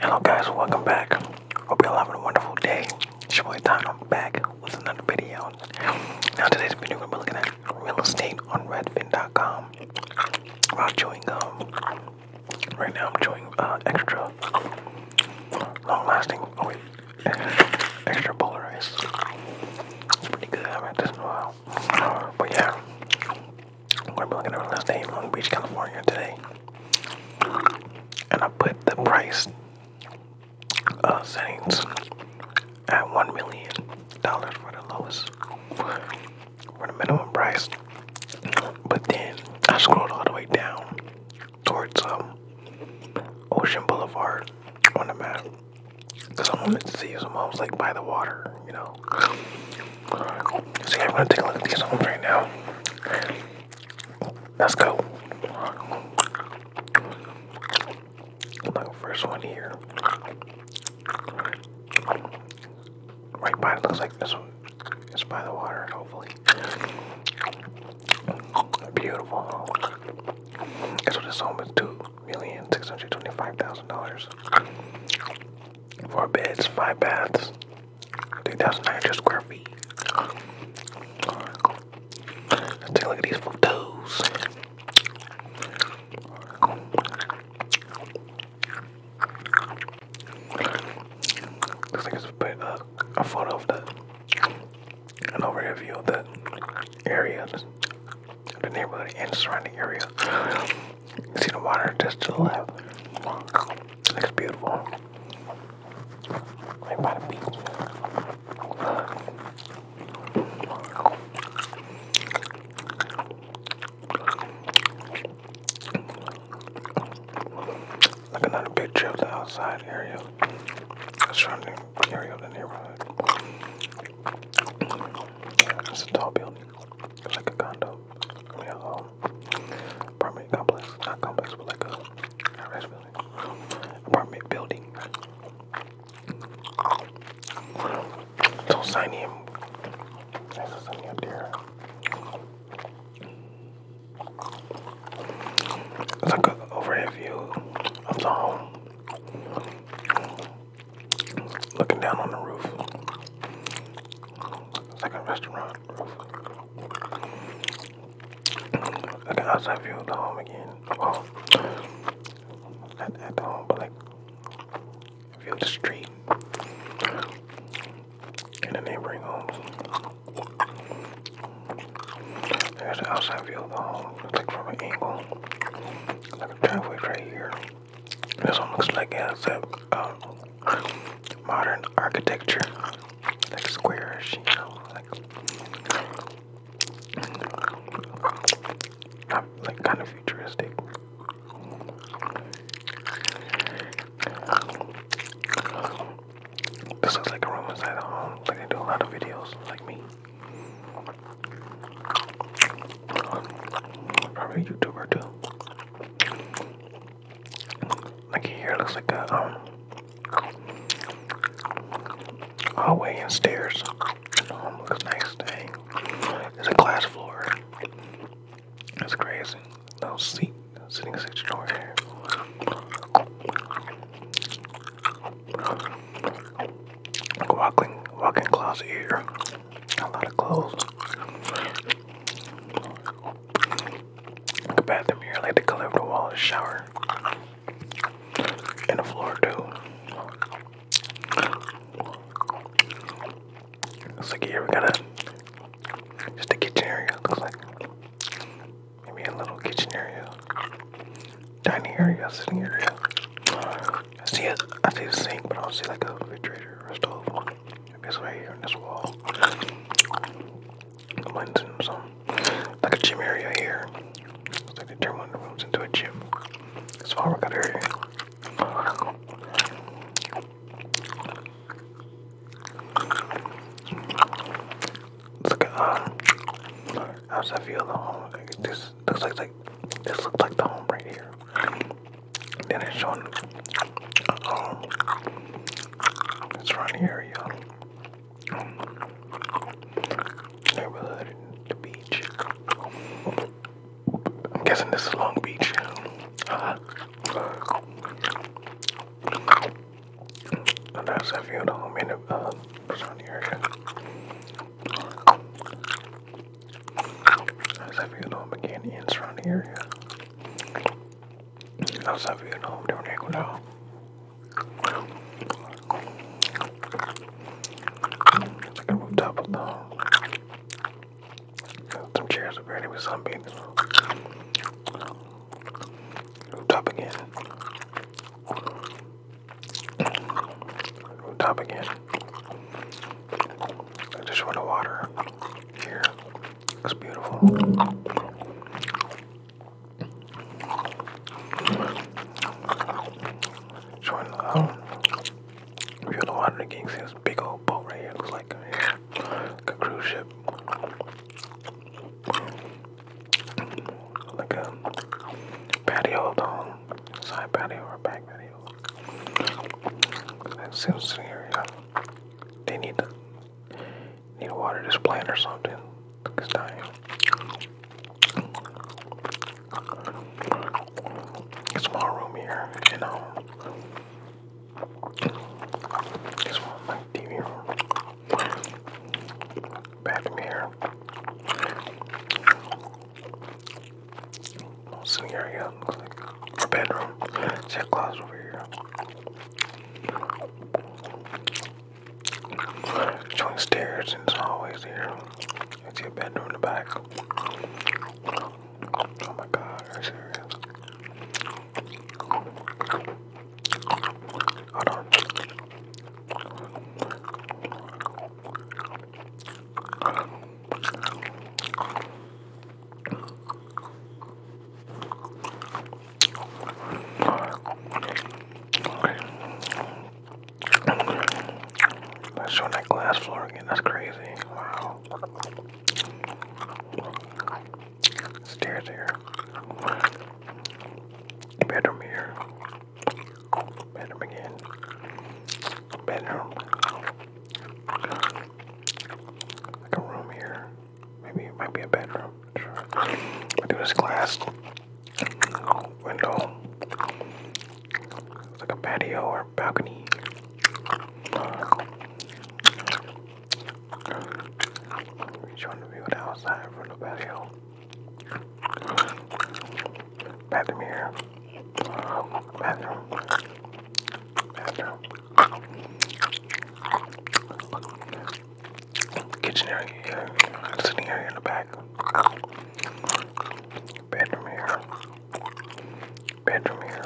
Hello guys, welcome back. Hope you're all having a wonderful day. It's your boy Don. I'm back with another video. Now today's video we're gonna be looking at real estate on redfin.com I'm chewing gum. Right now I'm chewing uh, extra long lasting oh wait extra polarized. It's pretty good, I haven't had this in a while. But yeah. I'm gonna be looking at real estate name, Long Beach, California today. And I put the price uh, settings at one million dollars for the lowest for the minimum price. But then I scrolled all the way down towards um, Ocean Boulevard on the map because I wanted to see some homes like by the water, you know, See, I'm gonna take a look at these homes right now. Let's go. first one here. Right by it looks like this one. It's by the water, hopefully. Beautiful. Guess what this home is? $2,625,000. Four beds, five baths, 3,900 square feet. take a look at these photos. Looks like it's a photo of the, an overview of the area, the neighborhood and surrounding area. You see the water just to the left. It looks beautiful. Right by the beach. another picture of outside area. The surrounding area of the neighborhood. It's a tall building. It's like a condo yeah, um, apartment complex, not complex, but like a not apartment building. So sign him. There's something up there. It's like an overhead view of the home looking down on the roof. It's like a restaurant roof. Like an outside view of the home again. Well, at the home, but like view the street and the neighboring homes. There's the outside view of the home. It's like from an angle. Like a driveway right here. This one looks like it has a um, modern architecture, like squareish, you know, like kind of futuristic. This looks like a room inside a home, like they do a lot of videos, like me. Probably YouTuber too. Like here looks like a um, hallway and stairs. Um, looks nice It's a glass floor. That's crazy. No seat sitting section over Walk-in walking walking closet here a lot of clothes. Like bathroom here, like the color of the wall, a shower, and the floor too. Looks like here we got a just a kitchen area. Looks like maybe a little kitchen area, dining area, sitting area. I see it. I see the sink, but I don't see like a refrigerator or a stove. I It's right here in this wall. One's in some like a gym area here. It's like they turn one of the rooms into a gym. It's workout area. Look at um, uh, how's that feel though? Like this this looks like like this looks like the home right here. Then it's showing um, It's around the area. Neighborhood, the beach. I'm guessing this is Long Beach. that's a view of in the uh, area. I was at Vietnam again in surrounding area. I was at Vietnam down in Ecuador. It's like a rooftop of the some chairs apparently with sunbathing. Rooftop again. Rooftop again. I just want to water here. It's beautiful. Join the um, view the water. Again, this big old boat right here. looks like a, cruise ship. Like a patio side patio or back patio. That seems to They need need water this plant or something. It's dying. small room here, you know. It's one my TV room. Bathroom here sitting area, her bedroom. She had closet over here. Joint stairs and it's always here. It's your bedroom in the back. Oh my god, are you serious? Hold on. Let's show that glass floor again. That's crazy. Wow. Stairs here. Bedroom here. Bend again. Bend Like a room here. Maybe it might be a bedroom. Sure. I do glass window. It's like a patio or balcony. Showing the view the outside from the patio. Bathroom here. Bathroom. Bathroom. Kitchen area here. Sitting area in the back. Bedroom here. Bedroom here.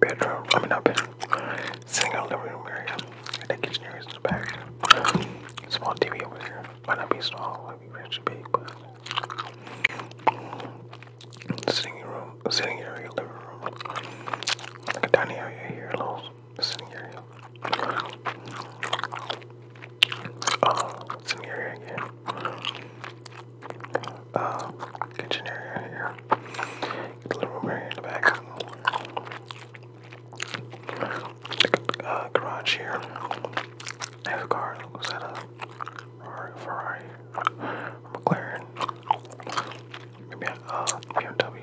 Bedroom. I mean not bedroom. Sitting out living room area. And that kitchen area is in the back. Small TV over here. Might not be small want to be rich and big, but sitting room, sitting area, living room, like a tiny area here, a little sitting area. Oh, sitting area again. Uh, kitchen area here, little room area in the back uh, garage here. have a car. Was a Ferrari? McLaren? Maybe a uh, BMW.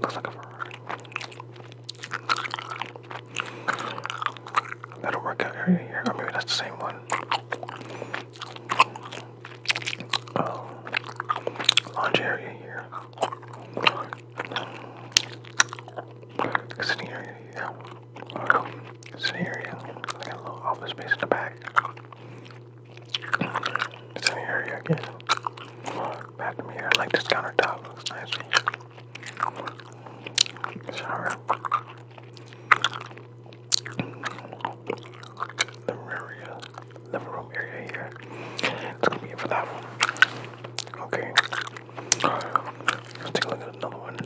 looks like a Ferrari. That'll area here. Or maybe that's the same one. Um, area here. It's an Like a little office space in the back. It's an area again. Bathroom here. I like this countertop. Looks nice. Shower. The area living room area here. That's gonna be for that one. Okay. Let's take a look at another one.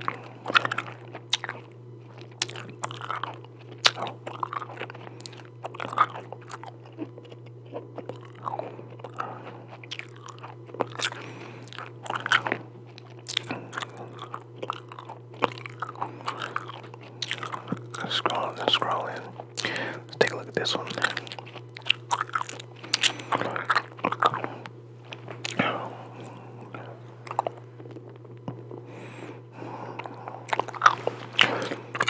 Scrolling scrolling. Let's take a look at this one.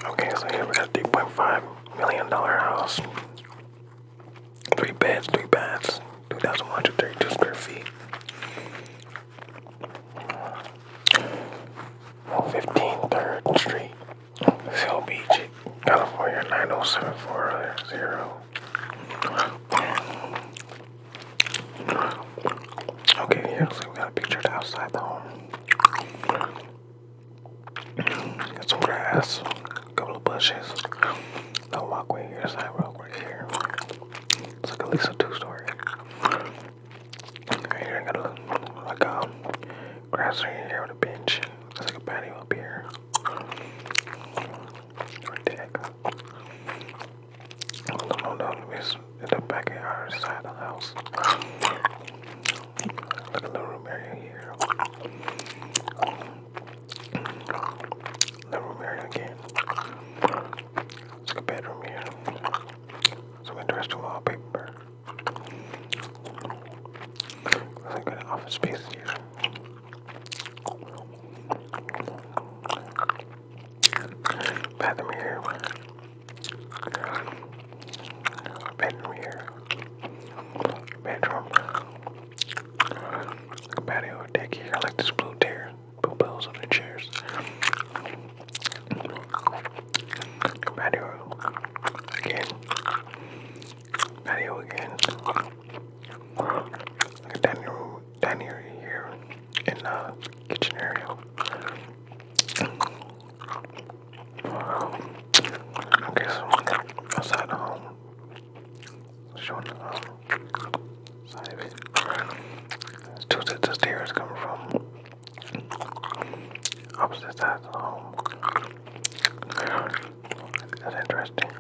Okay, so here we got $3.5 million house. Three beds, three baths, 2,132 square feet. 15 Street. Seal Beach, California 90740. Okay, yeah, so we got a picture outside the home. Got some grass, a couple of bushes. The walkway here, sidewalk right here. It's like at least a two story. Here I got a like um grass area here with a bench. Looks like a patio up here. Or deck. I don't know it's in the backyard side of the house. Like a little room area here. Living room area again. It's a bedroom here. Some interesting wallpaper. I got office space here. Bathroom here. Bedroom here. Bedroom. Like a patio deck here. I like this blue chair. Blue bells on the chairs. Patio again. Patio again. Look at that new down here here kitchen area. Okay, so outside the home. Showing the um, side of Two sets of stairs coming from Opposite sides of the home. That's interesting.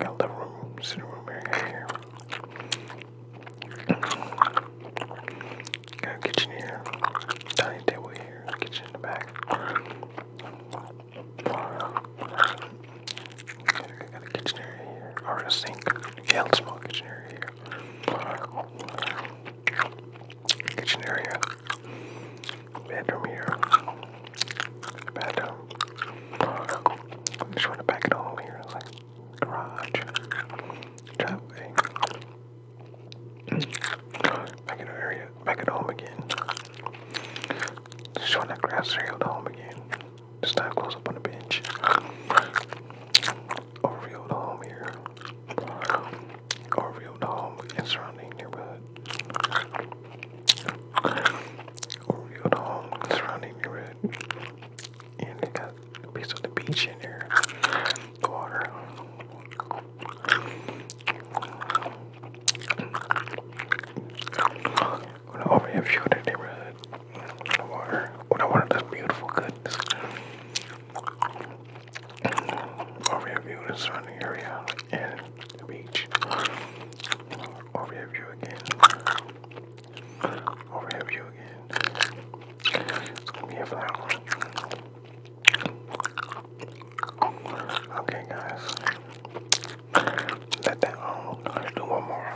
Got living room, sitting room area here. Got kitchen here, dining table here, kitchen in the back. Got a kitchen area here, or a sink. Yeah, a small kitchen area here. Kitchen area. Bedroom here. bedroom. I'm just trying to back at home here. like garage. Driveway. Back in area. Back at home again. Just trying to grass area at home again. This time close up on the bench. Oreo Dome here. Oreo Dome and surrounding neighborhood. Oreo Dome and surrounding neighborhood. And it got a piece of the beach in there. The water. When I overhead view of the neighborhood, Water. Oh, that water beautiful goodness. Overview of the surrounding area and the beach. Overview again. Overview again. It's gonna be a flower. Okay, guys. Let that Let's um, do one more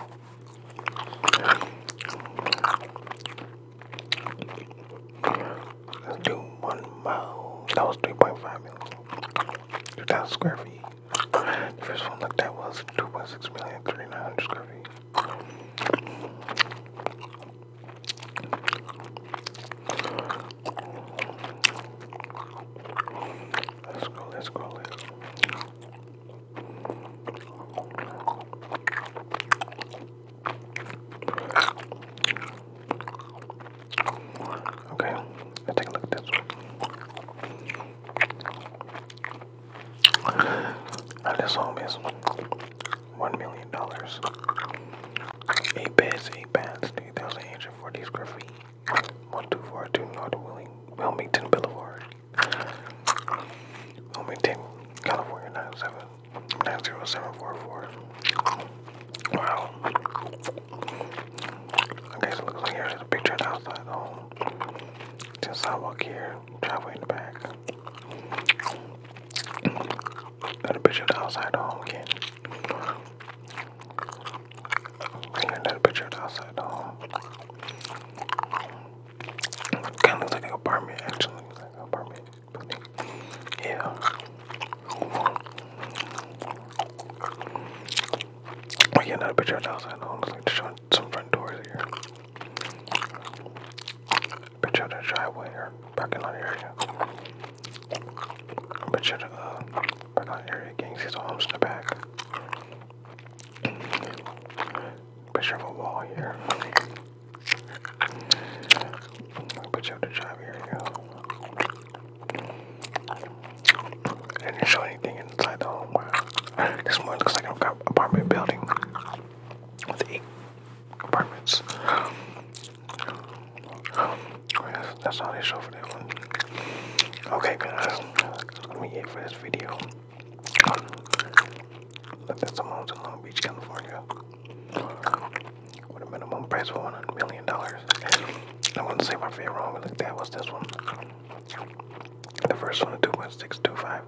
let one mile. That was 3.5 million. 2,000 square feet. The first one looked at was 2.6 million, 3,900 square feet. let's go, let's go. Okay, let's take a look at this one. Now this home is one million dollars. Eight beds, eight baths, three thousand eight hundred forty square feet. One two four two North Willing Wilmington Boulevard. Wilmington, California 97 90744. Wow. Okay, so it looks like picture of outside home. Just sidewalk here, driveway in the back. Got picture of the home again. another picture of the home. Kind of like an apartment, actually, like an apartment building. Yeah. Oh yeah, not a picture of the outside. I was like showing some front doors here. Picture of the driveway or parking lot area. Picture of the uh, parking lot area. Gang sees the homes in the back picture of a wall here. i up the job here didn't show anything inside the home. This one looks like an apartment building with apartments. Oh, that's all they show for that one. Okay guys, That's gonna be it for this video. That's amount in Long Beach, California, with a minimum price of $100 million. I wouldn't say my favorite one we looked at was this one. The first one, a 2.625,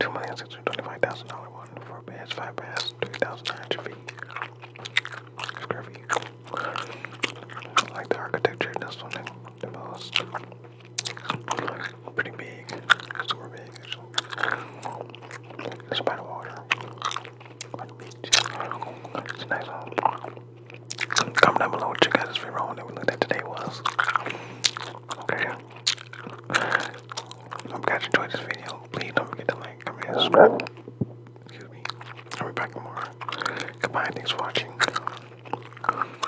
$2,625,000 one, 4 beds, 5 baths, 3,900 feet. Square feet. I like the architecture of this one, the most. Pretty big, super big actually. It's by the water, by the beach. It's nice Comment down below what you guys' favorite home that we looked today was. Okay. Hope you enjoyed this video. Please don't forget to like, comment, and subscribe. Excuse be back tomorrow. Goodbye. Thanks for watching.